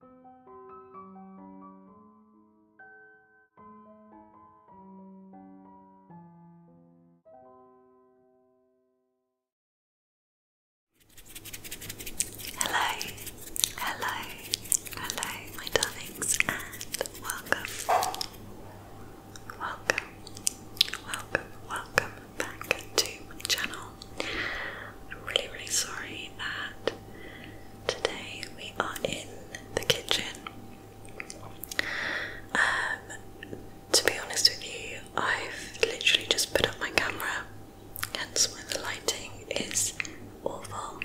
Hello, hello, hello, my darlings, and welcome, welcome, welcome, welcome back to my channel. I'm really, really sorry that Today we are in the kitchen. Um, to be honest with you, I've literally just put up my camera, hence why the lighting is awful.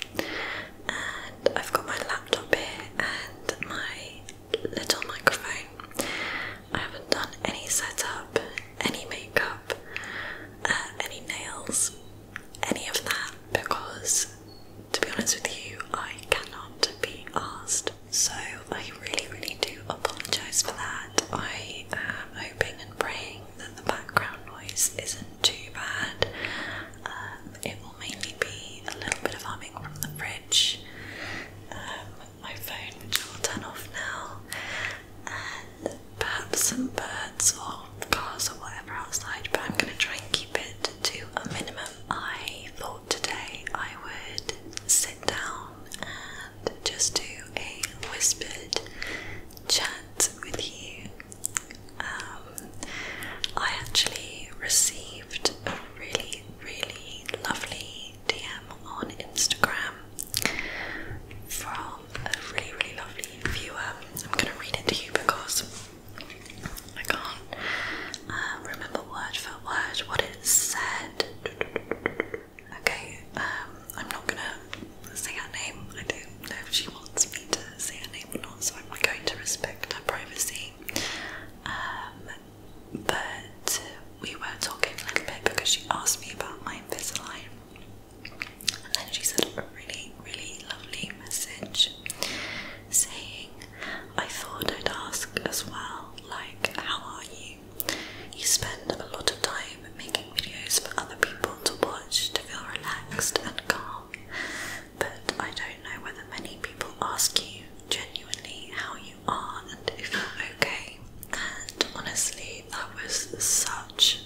And I've got my laptop here and my little microphone. I haven't done any setup, any makeup, uh, any nails, any of that because, to be honest with you, I cannot be asked. So I really, really do apologise for that. I am hoping and praying that the background noise isn't too bad. Um, it will mainly be a little bit of humming from the fridge. Um, my phone, which I will turn off now, and perhaps some birds or cars or whatever outside, but I'm going to try and keep it to a minimum. I thought today I would sit down and just do a whispered chat with you. Um, I actually received a really, really lovely DM on Instagram from a really, really lovely viewer. I'm going to read it to you because I can't uh, remember word for word what it said. Okay, um, I'm not going to say her name. I don't know if she wants me to say her name or not, so I'm going to respect her privacy. Um, but we were talking a little bit because she asked me about my Invisalign and then she sent a really, really lovely message saying, I thought I'd ask as well, like, how are you? You spend a lot of time making videos for other people to watch to feel relaxed and calm, but I don't know whether many people ask you genuinely how you are and if you're okay. And honestly, that was such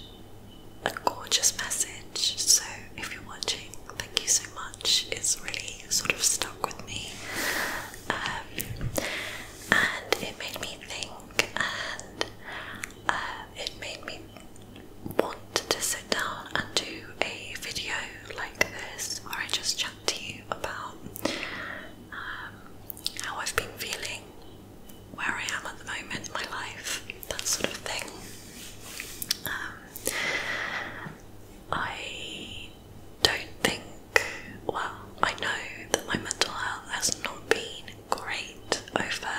a gorgeous message. So, if you're watching, thank you so much. It's really sort of stuck with me, um, and it made me think, and uh, it made me want to sit down and do a video like this where I just chat to you about um, how I've been feeling, where I am at the moment in my life, that sort of thing. Um, I don't think, well, I know that my mental health has not been great over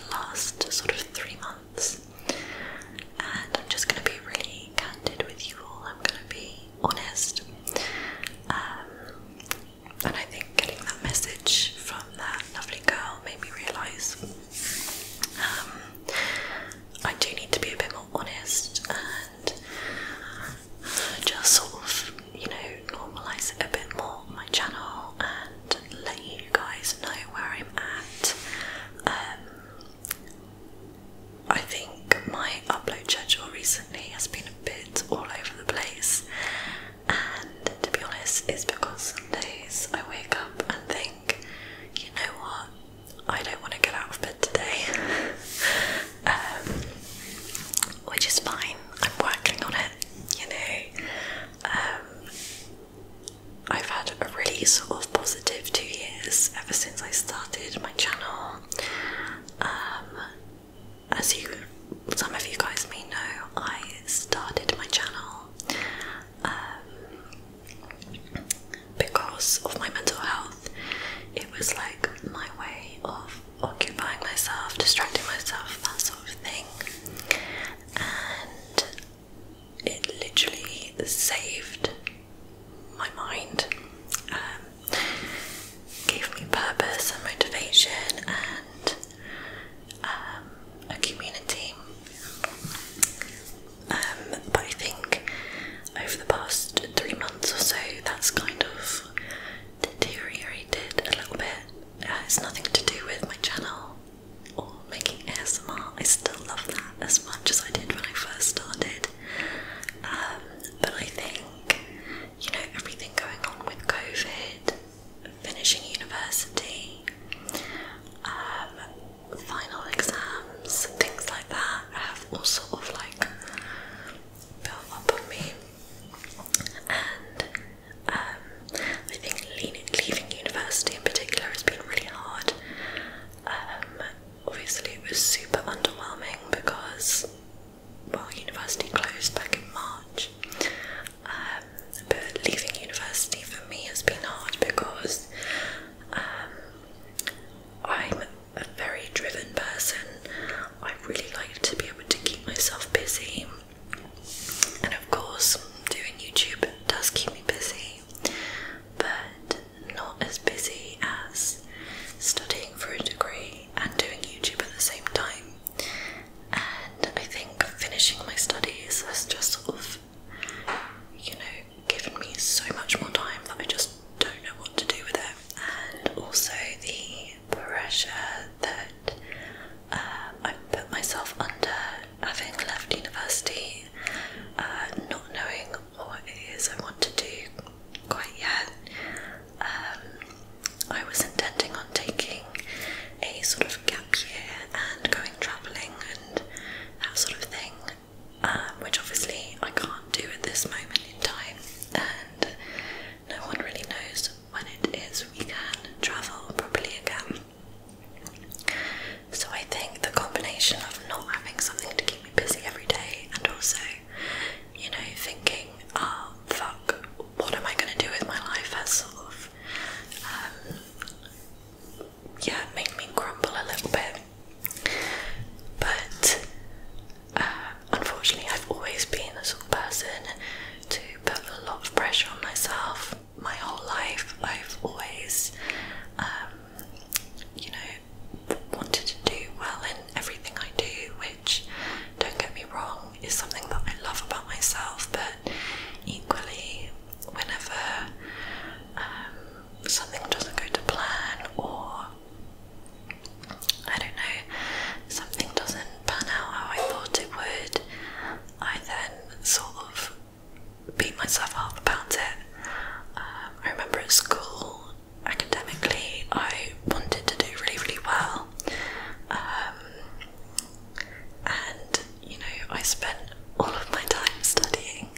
the last sort of three months, and I'm just going to be really candid with you all. I'm going to be honest. Um, and I think getting that message from that lovely girl made me realise um, I do need to be a bit more honest and just sort of, you know, normalise it a bit more on my channel and let you guys know where I'm at. Um, I think my upload schedule recently has been a bit all over the place, and to be honest, it's because some days I wake up and think, you know what, I don't want to get out of bed today. Um, which is fine, I'm working on it, you know. Um, I've had a really sort of positive two years ever since I started my channel. Um, as you, some of you guys may know, I started my channel um, because of my mental health. It was like my way of occupying myself, distracting myself, that sort of thing, and it literally saved my mind, um, gave me purpose and motivation, um, a community. Um, but I think over the past three months or so, that's kind of deteriorated a little bit. Uh, it's nothing to do with my channel or making ASMR. I still love that as much as I did when I first started. Um, but I think you know, everything going on with COVID, finishing university, um, final exams, things like that have all sort of like built up on me. And um, I think leaving university in particular has been really hard. Um, obviously, it was super underwhelming because well, university closed back in March. Um, but leaving university for me has been hard because um, I'm a very driven person. I really like to be able to keep myself busy, and of course, doing YouTube does keep me busy, but not as busy as studying for a degree and doing YouTube at the same time and I think finishing my studies has just sort of, you know, given me so much more time that I just don't know what to do with it, and also the pressure that uh, I put myself under having left university, uh, not knowing what it is I want to do quite yet. Um, I was intending on taking a sort of gap year and going travelling and that sort of thing, um, which obviously I can't do at this moment in time, and no one really knows when it is we can travel properly again. So I think the combination of not having something to keep me busy every day and also you know, thinking, oh fuck, what am I going to do with my life has sort of, um, yeah, made me grumble a little bit. But uh, unfortunately, I've always been a sort of person to put a lot of pressure on myself. My whole life, I've always, um, you know, wanted to do well in everything I do, which, don't get me wrong, is something that I love about myself, but equally, whenever um, something doesn't go to plan or I don't know, something doesn't pan out how I thought it would, I then sort of beat myself up about it. Um, I remember at school academically I wanted to do really, really well. Um, and you know, I spent all of my time studying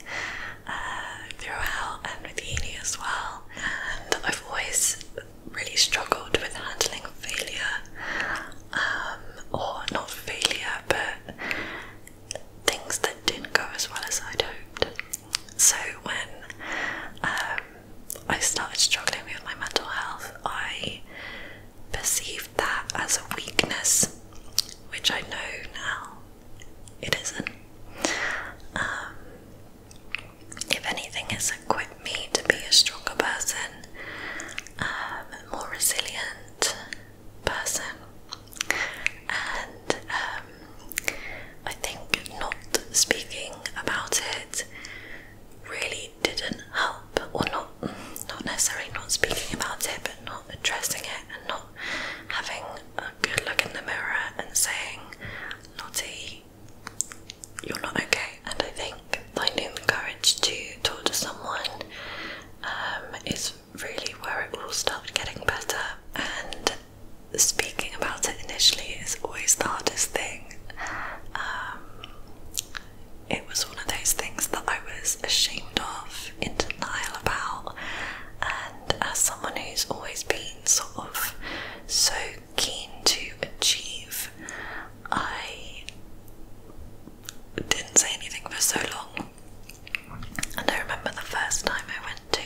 uh, throughout and with uni as well. And I've always really struggled with handling failure, um, or not failure, but things that didn't go as well as I'd hoped. So when um, I started struggling with my mental health, I perceived that as a weakness, which I know now it isn't. Um, if anything, it's equipped me to be a stronger person, um, a more resilient person, and um, I think not speaking about it really didn't help, or not not necessarily not speaking about it, but not addressing it and not having a good look in the mirror and saying, "Naughty, you're not okay. And I think finding the courage to talk to someone um, is really where it will start getting better. And speaking about it initially is always the hardest thing. Um, it was one of those things that I was ashamed of, in denial about, and as someone who's always been sort of so keen to achieve, I didn't say anything for so long. And I remember the first time I went to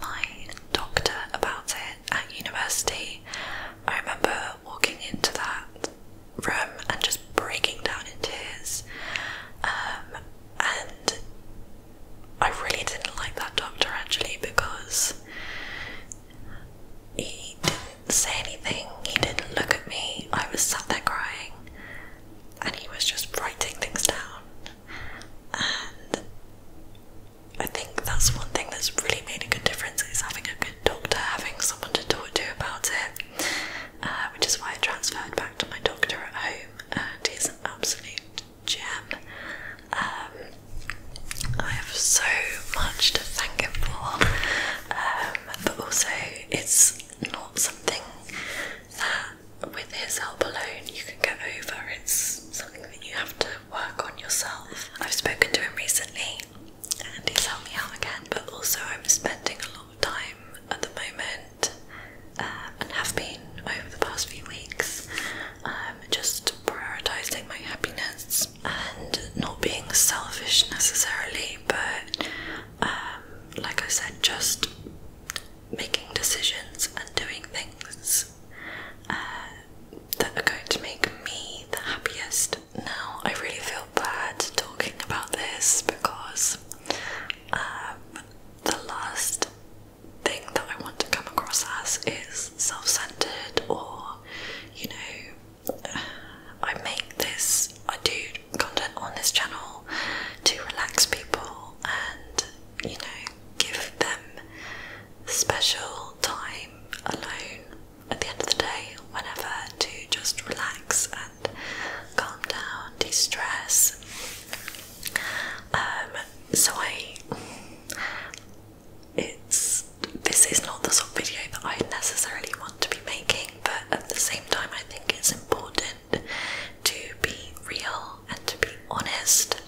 my doctor about it at university, I remember walking into that room and just breaking down in tears. Um, and I really didn't like that doctor actually because he didn't say anything, he didn't look at me, I was sat there crying, and he was just writing things down. I think that's one thing that's really made a good difference is having a good doctor, having someone to talk to about it, uh, which is why I transferred back to my doctor at home, and he's an absolute gem. Um, I have so much to thank him for, um, but also it's not something that with his help alone you can get over. It's something that you have to work on yourself. I've spoken to him recently and he's helped me out again, but also I'm spending a lot of time at the moment um, and have been over the past few weeks um, just prioritizing my happiness and not being selfish necessarily, but um, like I said, just making decisions and doing things uh, that are going to make me the happiest. Now, I really feel bad talking about this because um, the last thing that I want to come across as is self centered, or you know, I make this, I do content on this channel to relax people and you know, give them special time alone at the end of the day, whenever, to just relax and calm down, de stress. Um, so, I it's this is not the sort of video that I necessarily want to be making, but at the same time, I think it's important to be real and to be honest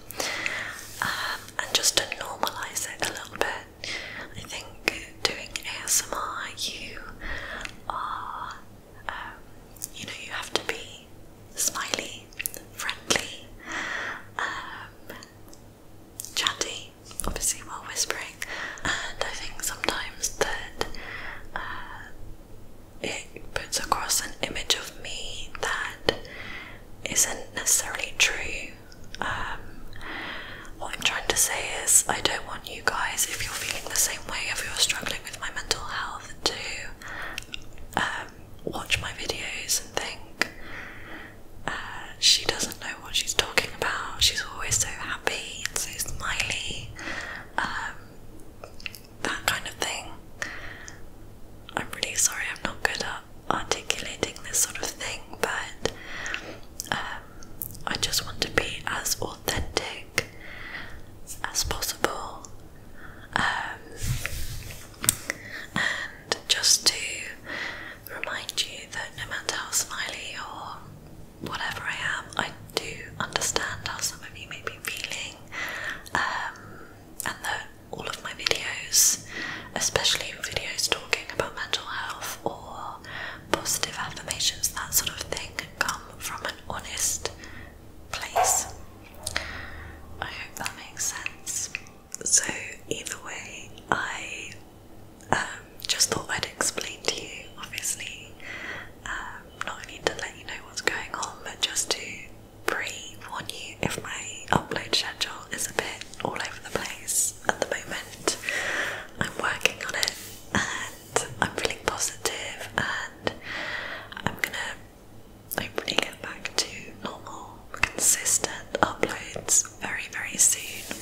um, and just to normalize it a little bit. I think doing ASMR, you are, um, you know, you have to be smiley, friendly, um, chatty, obviously, while whispering, and I think sometimes that. Uh, it puts across an image of me that isn't necessarily true. Um, what I'm trying to say is, I don't want you guys, if you're feeling the same way, if you're struggling with my mental health, to um, watch my videos and think uh, she doesn't know what she's talking about. She's always so happy and so smiley. Um, that kind of thing. I'm really sorry I'm not good at articulating this sort of thing, but um, I just want to be as authentic as possible um, and just to remind you that no matter how smiley or whatever I am, I do understand how some of you may be feeling um, and that all of my videos, especially videos talking about mental health or positive affirmations, that sort of thing, come from an honest place. I hope that makes sense. So, either way, I um, just thought I'd explain to you, obviously, um, not only to let you know what's going on, but just to brave on you if my upload schedule is a bit all over the place at the moment. I'm working on it and I'm feeling positive and I'm gonna hopefully get back to normal, consistent uploads very, very soon.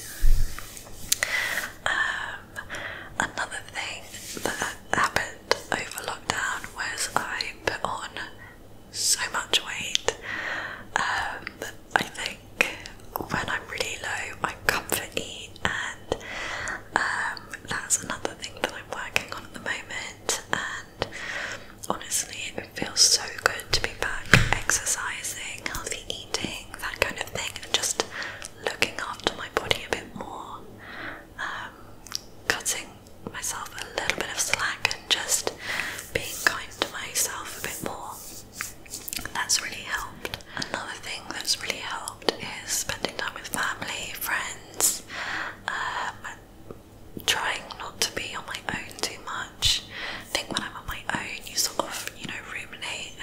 Um, another thing that happened over lockdown was I put on so much weight. Um, I think when I'm really low, I comfort eat, and um, that's another thing that I'm working on at the moment. And honestly, it feels so good to be back exercising, healthy eating, that kind of thing, and just looking after my body a bit more. Um, cutting myself a little bit of slack and just being kind to myself a bit more. That's really helped. Another thing that's really helped is spending time with family, friends, um, trying not to be on my own too much. I think when I'm on my own, you sort of, you know, ruminate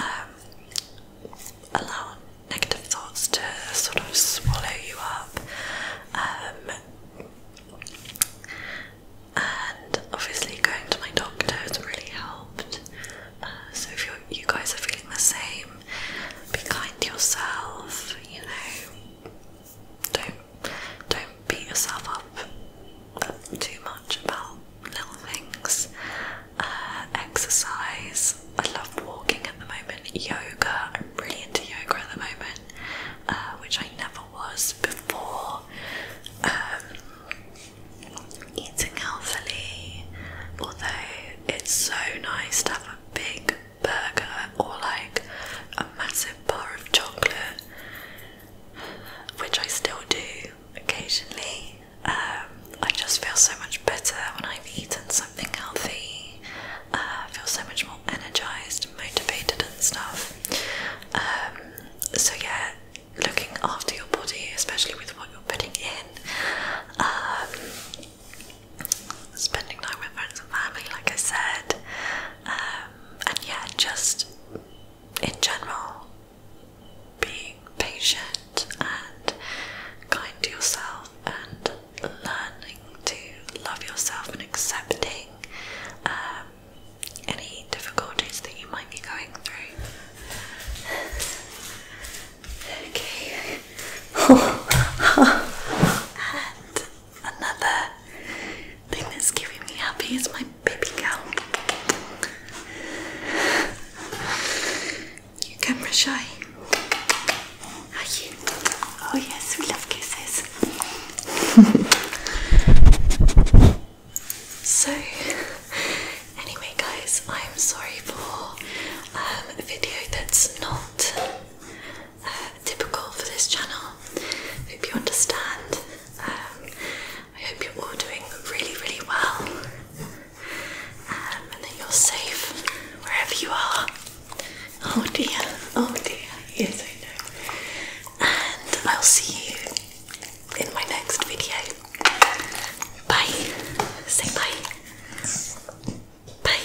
and um, negative thoughts to sort of swallow you up. Um, and obviously, going to my doctor has really helped. Uh, so, if you you guys are feeling the same, be kind to yourself. You know, don't don't beat yourself up too much about little things. Uh, exercise, I love walking at the moment. Yoga, I'm really into yoga at the moment, uh, which I never was before. Um, eating healthily, although it's so nice to have a big burger or like a massive bar of chocolate, which I still do occasionally. Um, I just feel so much better when I've eaten something something healthy, uh, feel so much more energized, motivated, and stuff. Um, so, yeah, looking after your body, especially with what you're putting in, um, spending time with friends and family, like I said, um, and yeah, just in general, being patient and kind to yourself and learning to love yourself and accepting um, any difficulties that you might be going through. Okay. and another thing that's giving me happy is my baby girl. You're camera shy. Are you? Oh yes, we love kisses. so anyway guys, I'm sorry for um, a video that's not uh, typical for this channel. Hope you understand. Um, I hope you're all doing really, really well. Um, and then you're safe wherever you are. Oh dear, oh dear, yes I know. And I'll see you in my next video. Bye. Say bye. Bye.